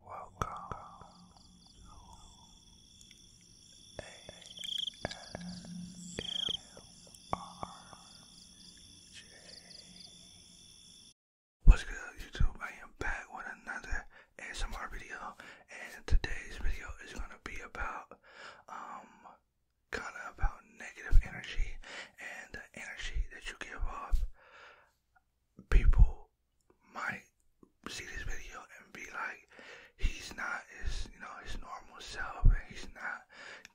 Welcome to ASMRJ. What's good, YouTube? I am back with another ASMR video, and today's video is gonna be about, um, kind of about negative energy and the energy that you give off people might see this video and be like, he's not his, you know, his normal self and he's not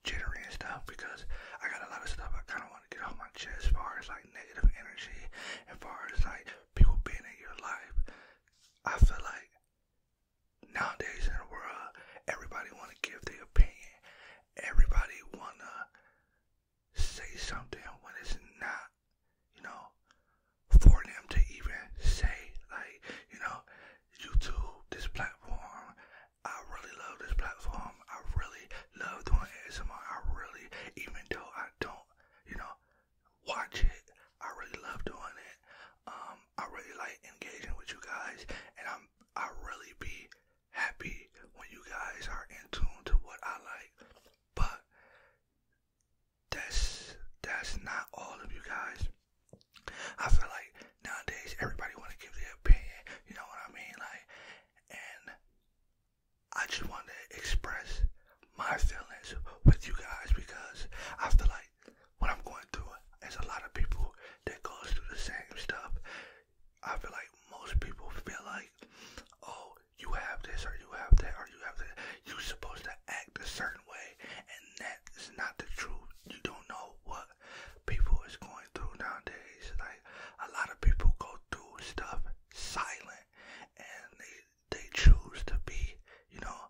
jittery and stuff because I got a lot of stuff I kind of want to get off my chest as far as like negative energy, as far as like people being in your life. I feel like nowadays in the world, everybody want to give their opinion. Everybody want to say something when it's not, you know, for them to even say, like, you know, YouTube, this platform, I really love this platform. I really love doing ASMR. I really, even though I don't, you know, watch it, I really love doing it. Um, I really like engaging with you guys, and I'm, I really be happy when you guys are in tune to what I like. But that's that's not all of you guys. I feel like nowadays everybody want to give their opinion. You know what I mean? Like, and I just want to express my feelings with you guys because I feel like what I'm going through is a lot of people that goes through the same stuff. I feel like most people feel like, oh, you have this or you have that or you have that. You're supposed to act a certain way, and that is not the truth. You don't know what people is going through nowadays. Like a lot of people go through stuff silent, and they they choose to be, you know,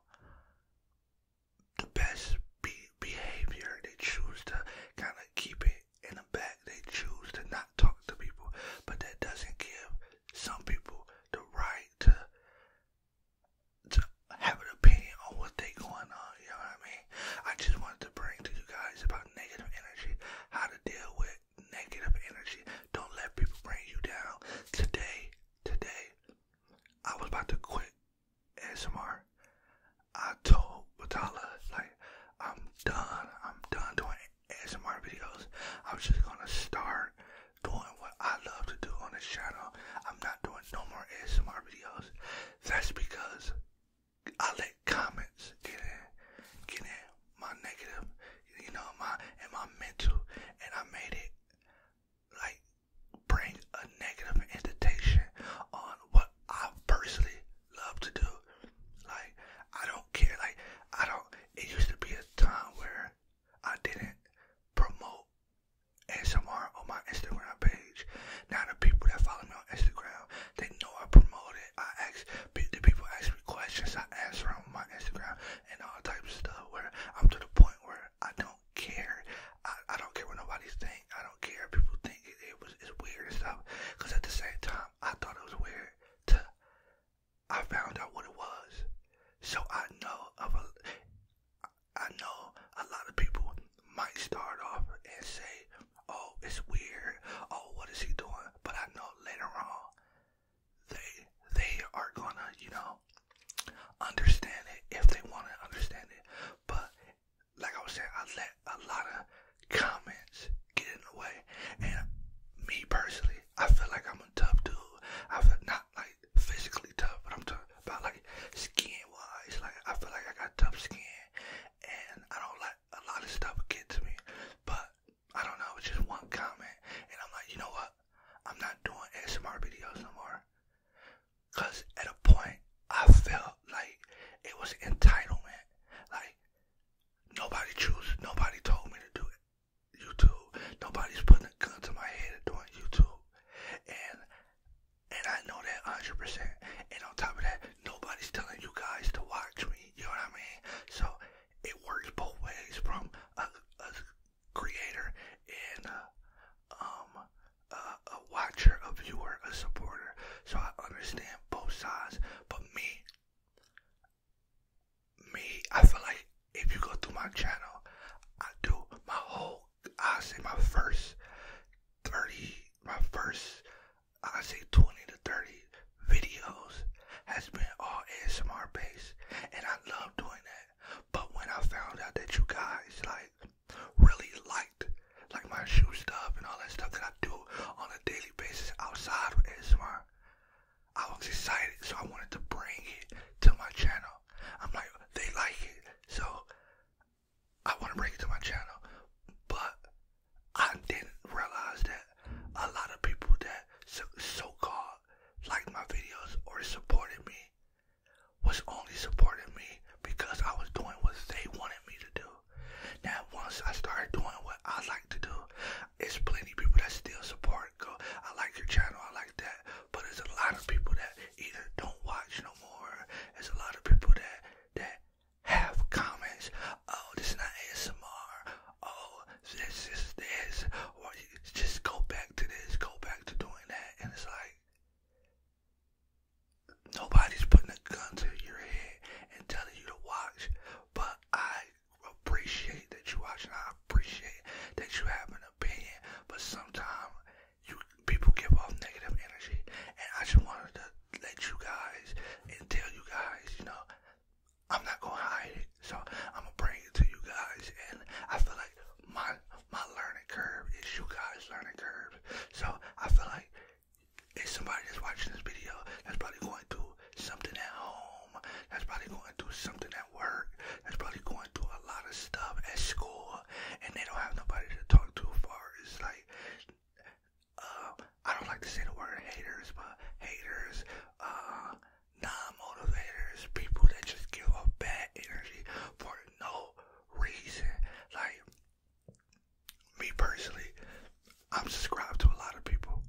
the best be behavior. They choose to kind of keep it in the back. They choose to not talk to people, but that doesn't give some people the right to to have an opinion on what they going on, you know what I mean? I just wanted to bring to you guys about negative energy, how to deal with negative energy. Don't let people bring you down. Today, today, I was about to quit ASMR. told Batala, like, I'm done. I'm done doing ASMR videos. I'm just gonna start doing what I love to do on this channel. I'm not doing no more ASMR videos. That's because I let comments get in, get in my negative, you know, my and my mental, and I made it like bring a negative indentation on what I personally love to do. Like I don't care. Like I don't it used to be a time where I didn't promote S M R on my Instagram page. Now the people that follow me on Instagram, they know I promote it. I ask the people ask me questions, I answer on my Instagram and all types of stuff. Where I'm to the point where I don't care. I, I don't care what nobody's think. I don't care people think it, was it's weird and stuff. Cause at the same time, I thought it was weird to I found out what it was. So I know of a, I know a lot of people might start off and say, "Oh, it's weird. Oh, what is he doing?" But I know later on, they they are gonna, you know, understand it if they want to understand it. But like I was saying, I let a lot of comments get in the way. And me personally, I feel like I'm a tough dude. I feel not like physically tough, but I'm talking about like skin wise. Like I feel like I got tough skin, and I don't like a lot of stuff get to me. But I don't know, it's just one comment, and I'm like, you know what? I'm not doing ASMR videos anymore. Cause at a point, I felt like it was entitlement. Like Nobody choose. Nobody told me to do it. YouTube. Nobody's putting a gun to my head and doing YouTube. And and I know that 100%. And on top of that, nobody's telling you guys to watch me. You know what I mean? So it works both ways from a, creator and a, um, a watcher, a viewer, a supporter. So I understand both sides. But me, me, I feel like if you go through my channel, I do my whole, I say my first 30, my first, I say 20 to 30 videos has been all ASMR based, and I love doing that. But when I found out that you guys like really liked like my shoe stuff and all that stuff that I do on a daily basis outside of ASMR, I was excited, so I wanted to bring it to my channel. I'm like, they like it, so I want to bring it to my channel. But I didn't realize that a lot of people that so, so called liked my videos or supported me was only supporting me because I was doing what they wanted me to do. Now, once I started doing what I like to do, it's plenty people that still support. Go, I like your channel, I like that. But there's a lot of people that either don't watch no more. There's a lot of people that that have comments. Oh, this is not ASMR. Oh, this is this. just go back to this, go back to doing that, and it's like. Nobody's putting a gun to your head and telling you to watch, but I appreciate that you watch, and I appreciate that you have an opinion, but sometimes you people give off negative energy, and I just wanted to let you guys and tell you guys, you know, I'm not gonna hide it, so I'm gonna bring it to you guys, and I feel like my my learning curve is you guys' learning curve, so I feel like it's somebody that's watching this video that's probably going through something at home, that's probably going through something at work, that's probably going through a lot of stuff at school, and they don't have nobody to talk to far as like, uh, I don't like to say the word haters, but haters, uh, non-motivators, people that just give off bad energy for no reason. Like, me personally, I'm subscribed to a lot of people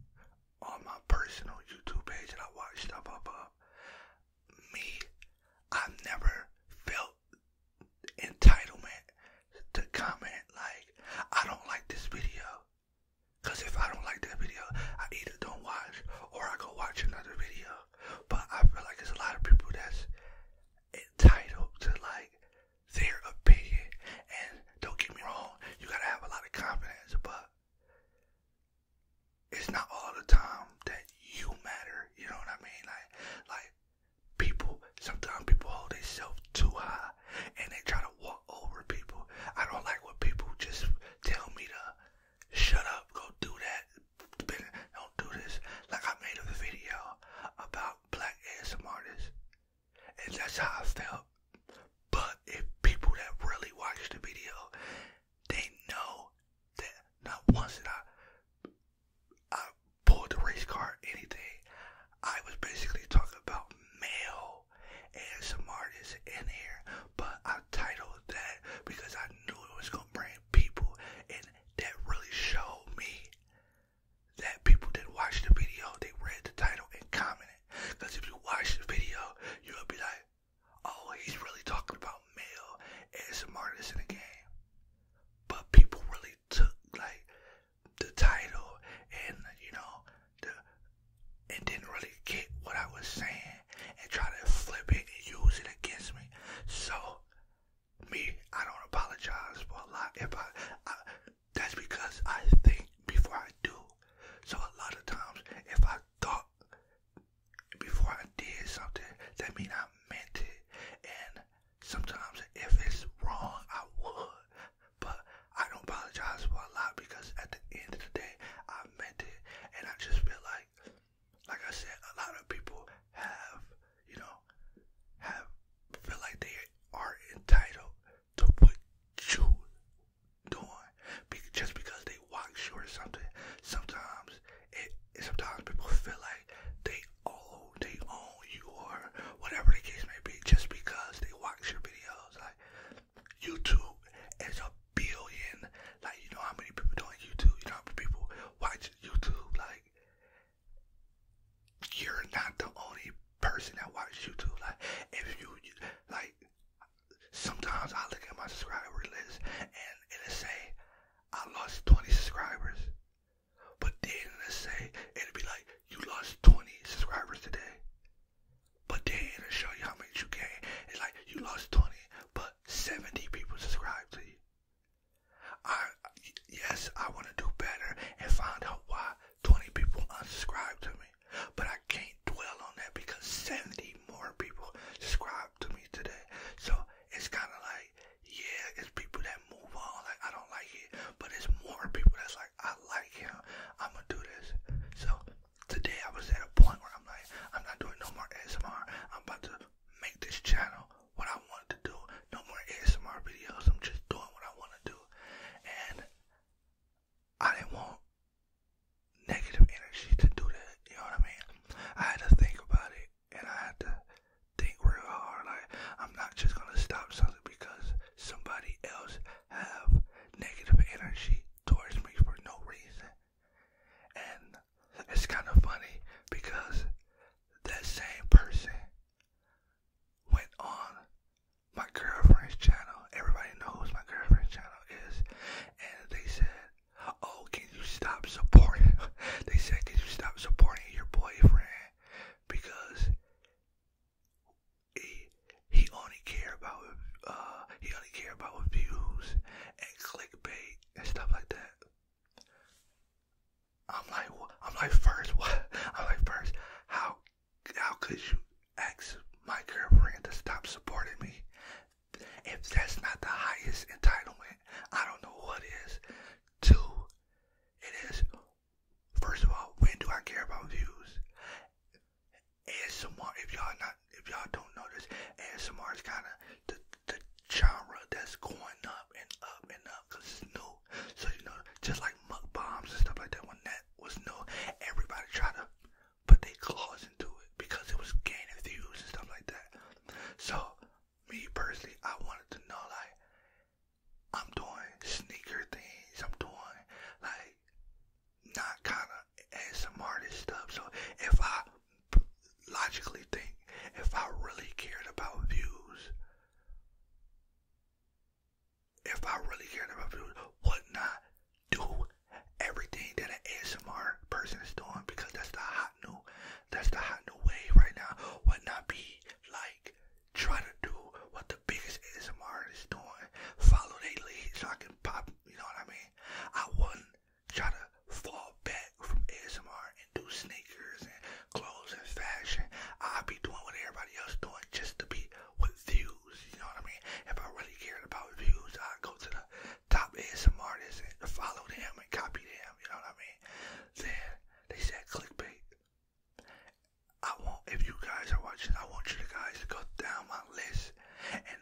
on my personal YouTube page and I watch stuff up Me, I've never felt entitlement to comment like I don't like this video. Cause if I don't like that video, I either don't watch or I go watch another video. But I feel like there's a lot of people that's entitled to like their opinion. And don't get me wrong, you gotta have a lot of confidence, but it's not all the time that you matter. You know what I mean? Like, like people. Sometimes people hold themselves too high, and they try to walk over people. I don't like when people just tell me to shut up, go do that, don't do this. Like I made a video about black ASM artists, and that's how I felt. But if people that really watch the video, they know that not once did I I pulled the race car or anything. I was basically talking about male and some artists in here, but I titled that because I knew it was gonna bring people and that really showed me that people that watched the video, they read the title and commented. Because if you watch the video, you'll be like, oh, he's really talking about male ASMRtists in the game. But people really took, like, the title and, you know, the and didn't really get what I was saying and try to flip it and use it against me. So, me, I don't apologize for a lot. If I, I that's because I think before I do. So a lot of times, if I thought before I did something, that means I meant it. And sometimes, if it's wrong, I would. But I don't apologize for a lot because at the end of the day, I meant it. And I just feel like, like I said, a lot of people have, you know, have feel like they are entitled to what you doing just because they watch you something. Sometimes it, sometimes people feel like they own they own you or whatever the case may be just because they watch your videos. Like YouTube is a billion. Like you know how many people doing YouTube, you know how many people watch YouTube, like you're not the only person that watches YouTube. Like, if you like, sometimes I look at my subscriber list and it'll say I lost 20 subscribers, but then it'll say it'll be like you lost 20 subscribers today, but then it'll show you how much you gained. It's like you lost 20, but 70 people subscribed to you. I yes, I want to do better and find out why 20 people unsubscribed to me. But I can't dwell on that because 70 more people subscribed to me today. So it's kind of like, yeah, it's people that move on. Like, I don't like it. But it's more people that's like, I like him. I'm going to do this. So today I was at a point where I'm like, I'm not doing no more ASMR. I'm about to make this channel what I want to do. No more ASMR videos. I'm just doing what I want to do. And I didn't want negative energy to do that. You know what I mean? I had to think about it, and I had to think real hard. Like I'm not just gonna stop something because somebody else have negative energy towards me for no reason. And it's kind of funny because that same person went on my girlfriend's channel. Everybody knows my girlfriend's channel is. And they said, Oh, can you stop supporting? they said, Can you stop supporting your boyfriend? Because he, he only care about uh, he only care about views and clickbait and stuff like that. I'm like, I'm like, first, what? I'm like, first, how how could you ask my girlfriend to stop supporting me? If that's not the highest entitlement, I don't know what is. Two, it is, first of all, when do I care about views? ASMR, if y'all not, if y'all don't know this, ASMR is kind of the, the genre that's going up and up and up because it's new new. So you know, just like muck bombs and stuff like that, when that was new, everybody tried to put their claws into it because it was gaining views and stuff like that. So me personally, I wanted to know like I'm doing sneaker things, I'm doing like not kind of ASMR stuff. So if I logically think, if I really cared about views, if I really cared about food, would not do everything that an ASMR person is doing because that's the hot new, that's the hot new wave right now. Would not be like try to do what the biggest ASMR is doing, follow their lead so I can pop. You know what I mean? I wouldn't try to fall back from ASMR and do sneakers and clothes and fashion. I'd be doing what everybody else doing just to be with views, you know what I mean? If I really cared about views, I'd go to the top ASM artists and follow them and copy them, you know what I mean? Then they said clickbait. I want, if you guys are watching, I want you guys to go down my list and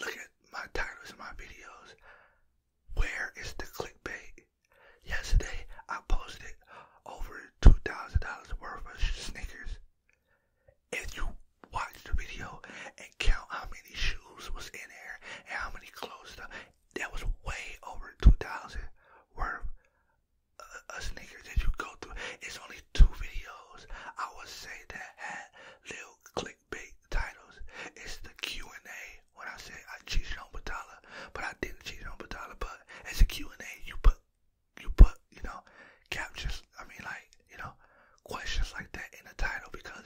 look at my titles of my videos. Where is the clickbait? Yesterday, I posted over $2,000 worth of sneakers. If you watch the video and count how many shoes was in there and how many clothes that was way over 2000 worth of sneakers that you go through. It's only two videos, I would say, that had little clickbait titles. It's the Q&A when I say I cheated on Batala, but I didn't cheat on Batala, but as a and a you put you put, you know, captions, I mean like, you know, questions like that in the title because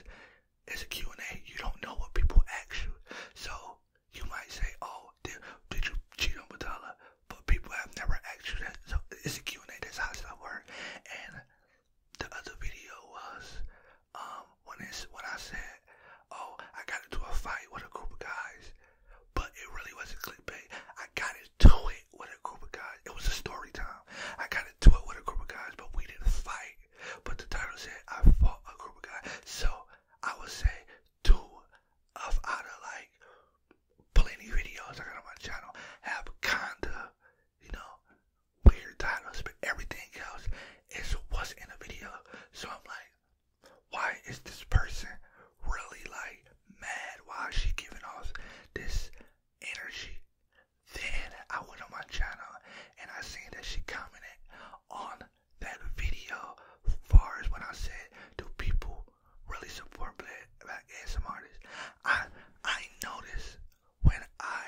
it's a Q&A. You don't know what people ask you. So you might say, oh, did, did you cheat on Batala? But people have never asked you that. So it's a Q&A. That's how it's going to work. And the other video was um, when, it's, when I said, oh, I got into a fight with a group of guys but it really wasn't clickbait. I got into it with a group of guys. It was a story time. I got into it with a group of guys, but we didn't fight. But the title said I fought a group of guys. So I would say two of out of like plenty videos I got on my channel have kinda, you know, weird titles, but everything else is what's in the video. So I'm like, why is this person really like mad? Why is she giving us this energy? Then I went on my channel and I seen that she commented on that video as far as when I said, do people really support black, black ASM artists? I, I noticed when I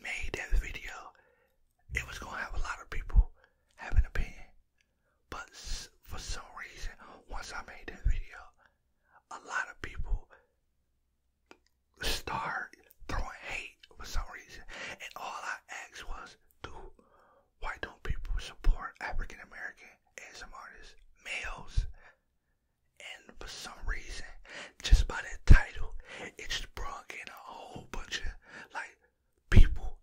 made that video, it was going to have a lot of people having an opinion. But for some reason, once I made that video, a lot of people started throwing hate for some reason. And all I asked was, dude, why don't people support African American ASM artists, males? And for some reason, just by that title, it just brought in a whole bunch of like people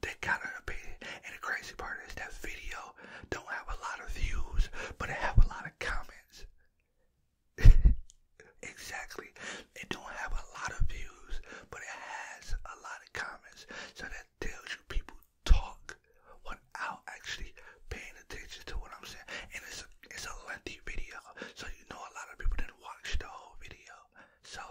they kind of opinion. And the crazy part is that video don't have a lot of views, but it have a lot of comments. exactly. It don't have a lot of views, but it has a lot of comments. So that tells you people talk without actually paying attention to what I'm saying. And it's a, it's a lengthy video, so you know a lot of people didn't watch the whole video. So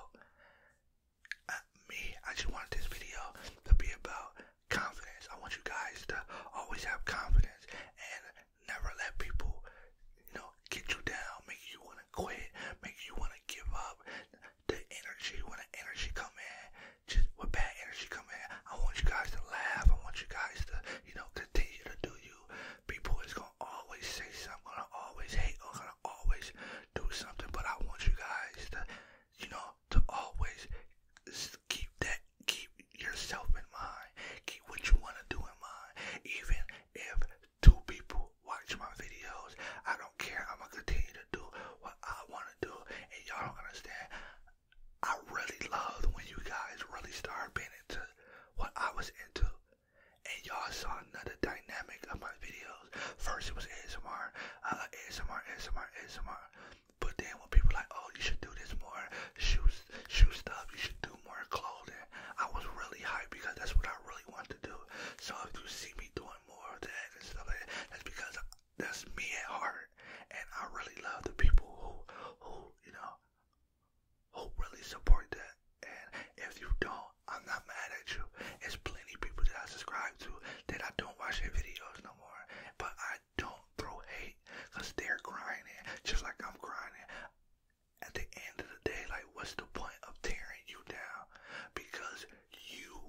me, I just want this video to be about confidence. I want you guys to always have confidence and never let people, you know, get you down, make you want to quit, make you want to give up. The energy, when the energy come in, just when bad energy come in, I want you guys to laugh. I want you guys to, you know, continue to do you. People is gonna always say something, gonna always hate, or always do something, but I want you guys to, you know, to always keep that, keep yourself in mind, keep what you wanna do in mind, even if two people watch my videos, I don't care, I'm gonna continue to do what I wanna do, and y'all don't understand, I really loved when you guys really started being into what I was into, and y'all saw another dynamic of my video videos. First it was ASMR, uh, ASMR, ASMR, ASMR. But then when people like, oh, you should do this more shoe, shoe stuff, you should do more clothing. I was really hyped because that's what I really want to do. So if you see me doing more of that and stuff like that, that's because that's me at heart. And I really love the people who, who you know, who really support that. And if you don't, I'm not mad at you. It's plenty of people that I subscribe to that I don't watch their videos no more. But I don't throw hate because they're grinding just like I'm grinding. At the end of the day, like, what's the point of tearing you down? Because you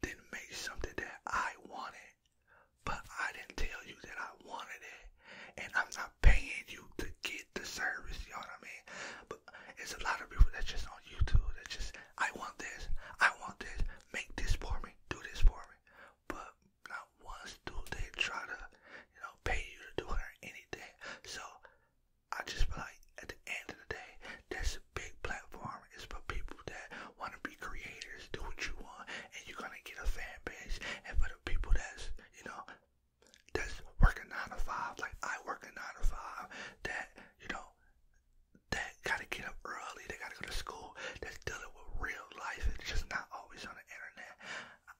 didn't make something that I wanted, but I didn't tell you that I wanted it. And I'm not paying you to get the service, you know what I mean? it's a lot of people that just on YouTube that just I want this, I want this, make this for me, do this for me. But not once do they try to, you know, pay you to do it or anything. So I just feel like at the end of the day, that's a big platform. It's for people that want to be creators, do what you want, and you're gonna get a fan base. And for the people that's, you know, that's working nine to five, like I work a nine to five, that you know that gotta get up early, they gotta go to school, that's dealing with real life, it's just not always on the internet.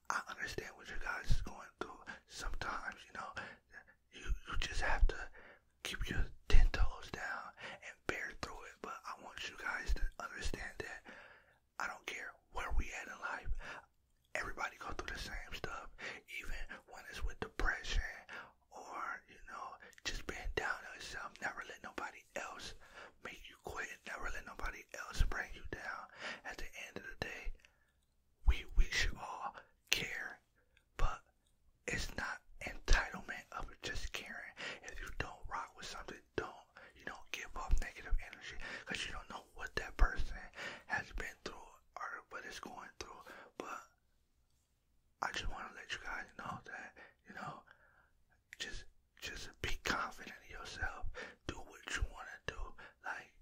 I understand what you guys is going through. Sometimes, you know, you, you just have to keep your ten toes down and bear through it. But I want you guys to understand that I don't care where we at in life. Everybody go through the same stuff, even when it's with depression or you know, just being down yourself, never let nobody else make you quit, never let nobody else bring you down. At the end of the day, we we should all care, but it's not entitlement of just caring. If you don't rock with something, don't you don't give off negative energy because you don't know what that person has been through or what it's going through. But I just want to let you guys know that you know, just just be confident in yourself. Do what you want to do. Like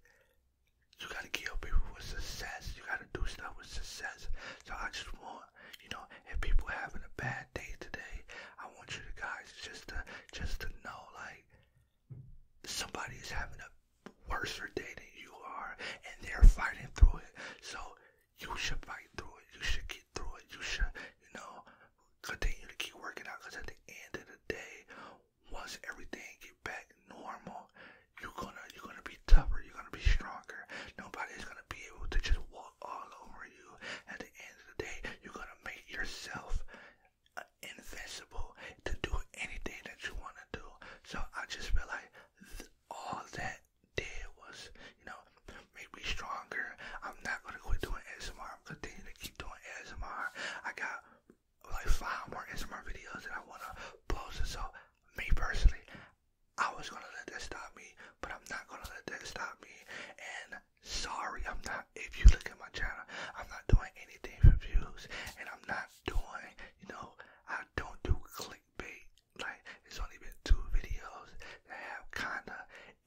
you gotta kill people with success. You gotta do stuff with success. So I just want you know, if people having a bad day today, I want you guys just to just to know like somebody is having a worse for day than you are, and they're fighting through it. So you should fight through it. You should get through it. You should, you know, continue to keep working out. Cause at the end of the day, once everything get back normal, you're gonna you're gonna be tougher. You're gonna be stronger. Nobody's gonna be able to just walk all over you. At the end of the day, you're gonna make yourself uh, invincible to do anything that you want to do. So I just feel like all that did was, you know, make me stronger. I'm not gonna quit doing ASMR. I'm continuing to keep doing ASMR. I got like five more ASMR videos that I wanna post. so, me personally, I was gonna let that stop me, but I'm not gonna let that stop me. And sorry, I'm not. If you look at my channel, I'm not doing anything for views, and I'm not doing, you know, I don't do clickbait. Like it's only been two videos that have kinda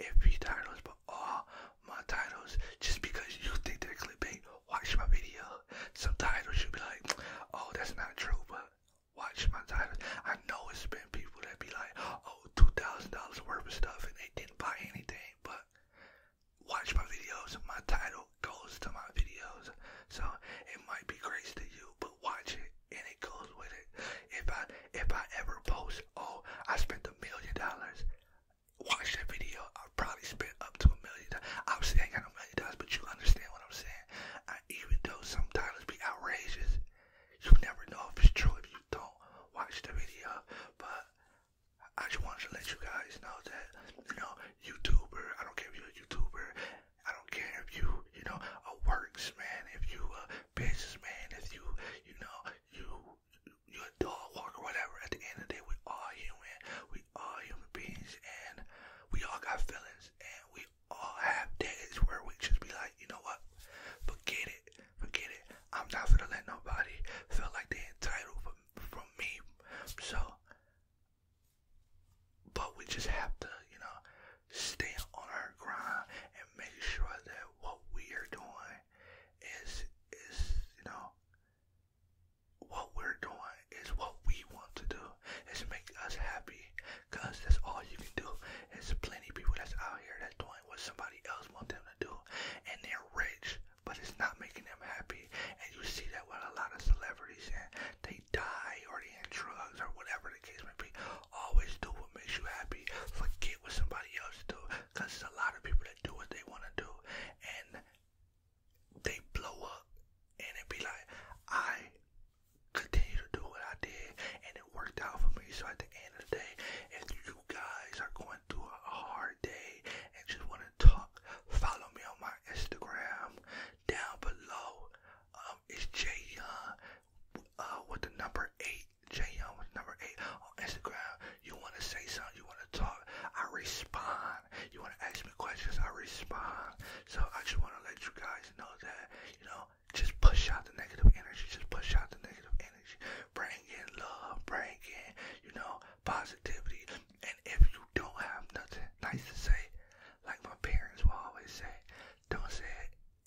iffy titles, but all my titles just because you think they're clickbait, watch my video. Some titles you be like, oh that's not true, but watch my titles. I know it's been people that be like, oh two thousand dollars worth of stuff and they didn't buy anything, but watch my videos. My title goes to my videos. So it might be crazy to you, but watch it and it goes with it. If I if I ever post, oh, I spent a million dollars. Watch that video. I probably spent up to a million. Obviously, I ain't got a million dollars, but you understand what I'm saying. I, even though some titles be outrageous, you never know if it's true if you don't watch the video. But I just wanted to let you guys know that you know YouTuber. I don't care if you're a YouTuber. I don't care if you, you know, a works man, if you a businessman, if you, you know, you you're a dog walker, whatever. At the end of the day, we are human. We are human beings, and we all got feelings, and we all have days where we just be like, you know what? Forget it, forget it. I'm not gonna let nobody feel like they're entitled from from me. So but we just have to, you know, stay on our grind and make sure that what we are doing is is, you know, what we're doing is what we want to do. Is make us happy. Cause that's all you can do. There's plenty people that's out here that's doing what somebody else want them to do. And they're rich, but it's not making them happy. And you see that with a lot of celebrities and they they die or they end drugs or whatever the case may be, always do what makes you happy. Forget what somebody else do, cause there's a lot of people that do what they want to do, and they blow up, and it be like, I continue to do what I did, and it worked out for me. So at the end of the day, if you guys are going through a hard day and just want to talk, follow me on my Instagram down below um, is uh, with the number eight. Jay with number eight on Instagram. You want to say something, you want to talk, I respond. You want to ask me questions, I respond. So I just want to let you guys know that, you know, just push out the negative energy, just push out the negative energy. Bring in love, bring in, you know, positivity. And if you don't have nothing nice to say, like my parents will always say, don't say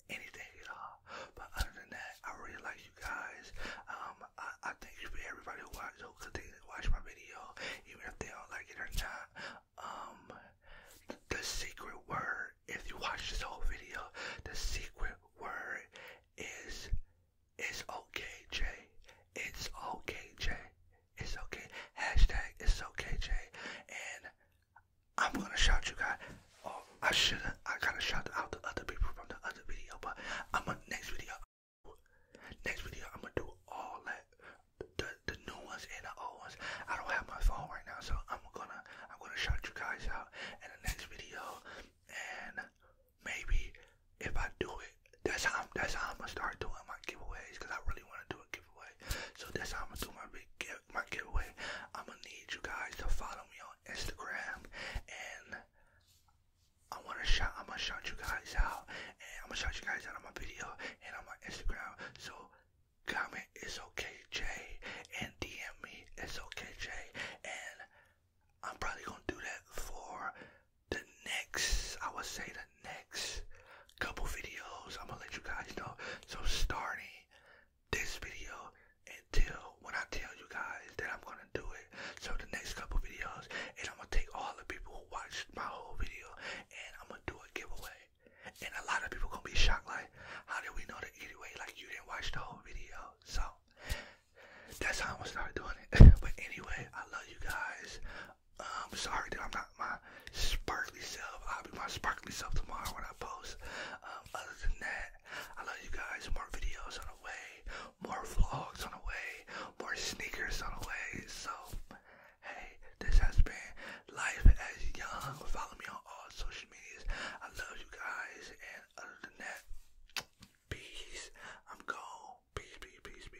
anything at all. But other than that, I really like you guys. Um, I, I thank you for everybody who watches, who continues watch my video, even if they don't like it or not. Um, the secret word, if you watch this whole video, the secret word is, it's okay, Jay. It's okay, Jay. It's okay. Hashtag it's okay, Jay. And I'm gonna shout you guys. Oh, I shouldn't. I gotta shout out the other people from the other video, but I'm gonna next video. Next video, I'm gonna do all that, the the new ones and the old ones. I don't have my phone right now, so I'm gonna I'm gonna shout you guys out in the next video, and maybe if I do it, that's how I'm, that's how I'm gonna start doing my giveaways because I really want to do a giveaway. So that's how I'm gonna do my big my giveaway. I'm gonna need you guys to follow me on Instagram, and I wanna shout. I'm gonna shout you guys out, and I'm gonna shout you guys out on my video and on my Instagram. So comment it's okay Jay and DM me it's okay Jay and I'm probably gonna do that for the next, I would say the next couple videos, I'm gonna let you guys know. So starting this video until when I tell you guys that I'm gonna do it. So the next couple videos, and I'm gonna take all the people who watched my whole video, and I'm gonna do a giveaway. And a lot of people gonna be shocked, like, how did we know that anyway? Like you didn't watch the whole video, so. That's how I'm gonna start doing it. but anyway, I love you guys. I'm sorry that I'm not my sparkly self. I'll be my sparkly self tomorrow when I post. Um, other than that, I love you guys. More videos on the way, more vlogs on the way, more sneakers on the way. So, hey, this has been Life as Young. Follow me on all social medias. I love you guys. And other than that, peace. I'm gone. Peace, peace, peace, peace.